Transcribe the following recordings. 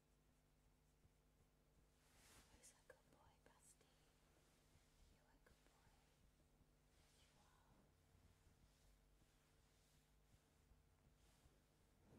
Who's a good boy, Busty? You a good boy? You are.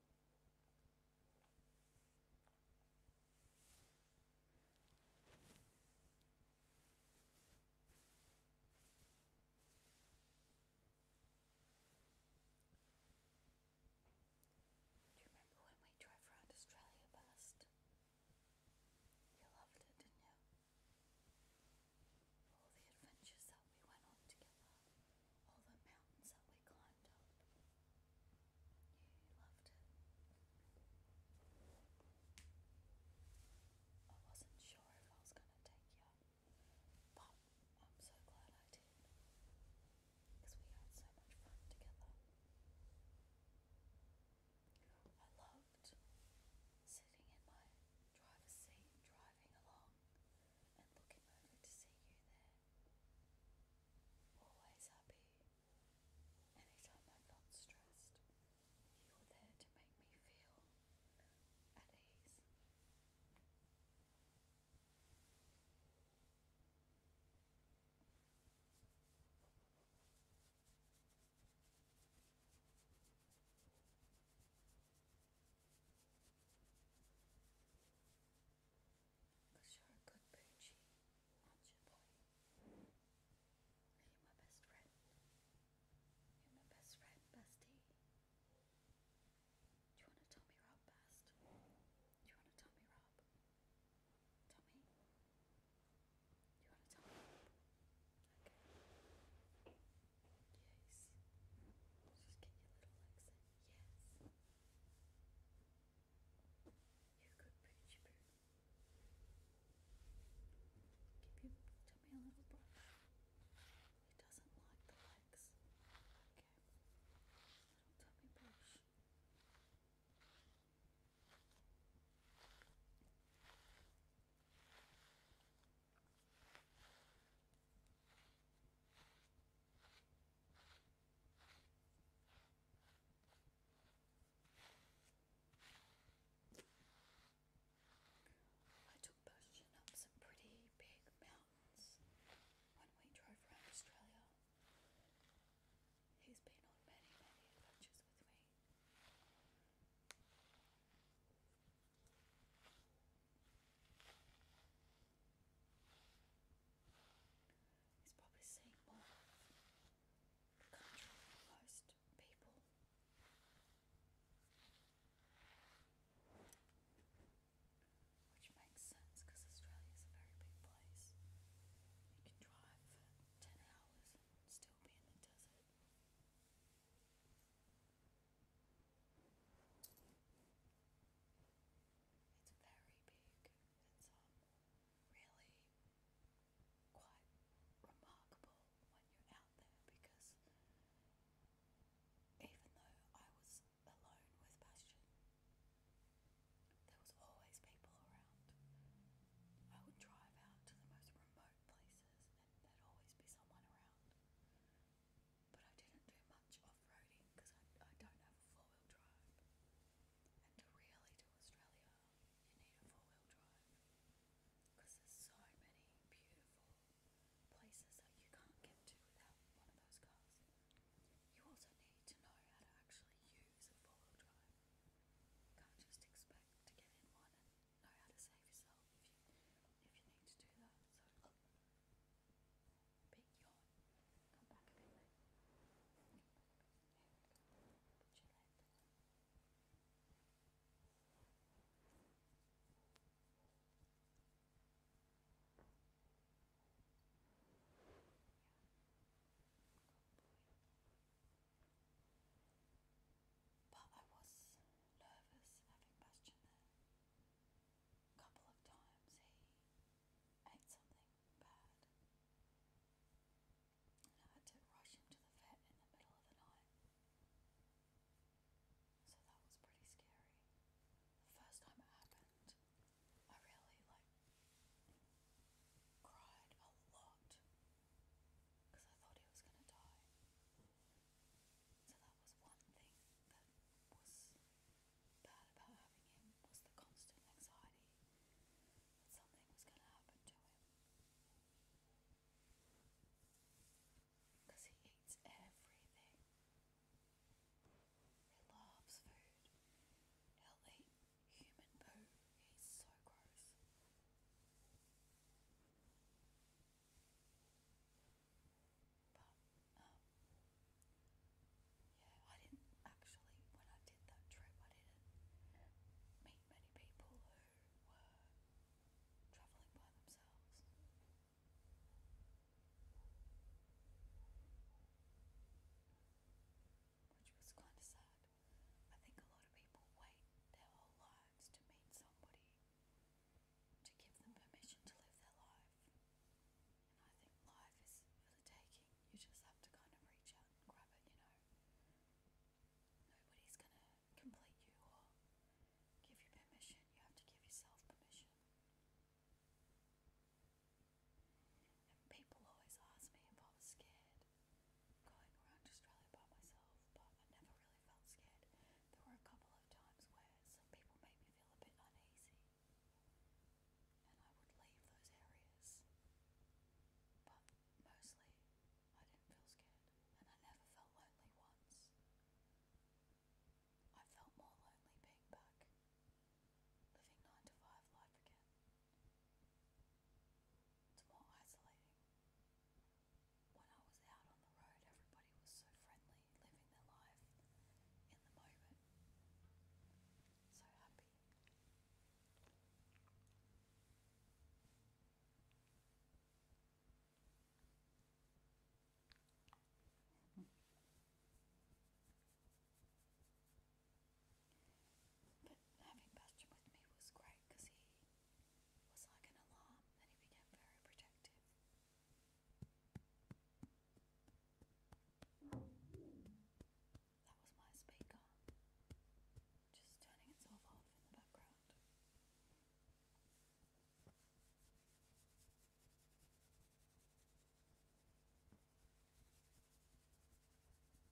Do you remember when we drove around Australia past? You loved it, didn't you? All the adventures that we went on together all the mountains that we climbed up. You loved it. I wasn't sure if I was gonna take you, but I'm so glad I did. Because we had so much fun together. I loved sitting in my driver's seat driving along and looking over to see you there. Always happy. Anytime I'm not stressed, you're there to make me feel at ease. Cause you're a good poochie, you, Are my best friend? You're my best friend, bestie. Do you want to tell me Rob best? Do you want to tell me Rob? Tell me. Do you want to tell me Okay. Yes. Just get your little legs Yes. You good poochie poo. Give your tummy a little brush. It doesn't like the legs. Okay. Little tummy brush. I took Bojan up some pretty big mountains when we drove around Australia. He's been on many, many adventures with me. He's probably seeing more country than most people. Which makes sense because Australia is a very big place. You can drive 10 hours and still be in the desert. It's very big. It's um, really quite remarkable when you're out there because even though I was alone with Bastion, there was always people around. I would drive out to the most remote places then there'd always be someone around. But I didn't do much off-roading because I, I don't have a four-wheel drive. And to really do Australia, you need a four-wheel drive because there's so many beautiful places that you can't get to without one of those cars. You also need to know how to actually use a four-wheel drive. You can't just expect to get in one know how to save yourself if you, if you need to do that. So, oh, big yawn. Come back a bit later. Put your leg down. Yeah. Good boy. But I was nervous having Bastian there. A couple of times he ate something bad. And I had to rush him to the vet in the middle of the night. So that was pretty scary. The first time it happened, I really like cried a lot because I thought he was going to die. So that was one thing that was bad about having him was the constant anxiety that something was going to happen to him. Because he eats everything. He loves food. He'll eat human poo. He's so gross. But, um, yeah, I didn't actually, when I did that trip, I didn't meet many people who were travelling by themselves. Which was kind of sad. I think a lot of people wait their whole lives to meet somebody to give them permission to live their life. And I think life is for the taking. You just have to kind of reach out and grab it, you know. Nobody's gonna complete you or give you permission. You have to give yourself permission. people always ask me if I was scared going around Australia by myself, but I never really felt scared. There were a couple of times where some people made me feel a bit uneasy, and I would leave those areas. But mostly, I didn't feel scared, and I never felt lonely once. I felt more lonely being back, living 9 to 5 life again. It's more isolating. When I was out on the road, everybody was so friendly, living their life in the moment. So happy. But having Bastion with me was great because he was like an alarm and he became very protective. That was my speaker, just turning itself off in the background.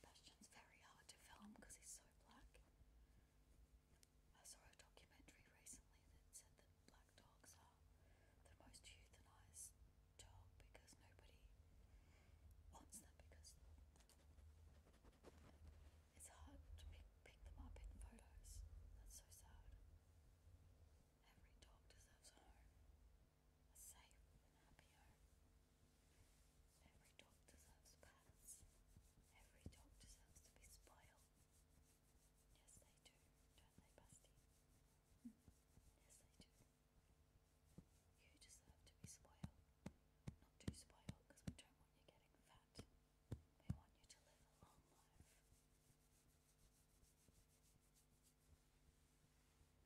Bastian's very hard to film because he's so black. I saw a documentary recently that said that black dogs are the most euthanized dog because nobody wants them because it's hard to pick, them up in photos. That's so sad. Every dog deserves home a safe happy home. Every dog deserves pets. Every dog deserves to be spoiled. Yes, they do, don't they, Busty? Hmm. Yes, they do. You deserve to be spoiled. Not too spoiled, we don't want you getting fat. We want you to live a long life.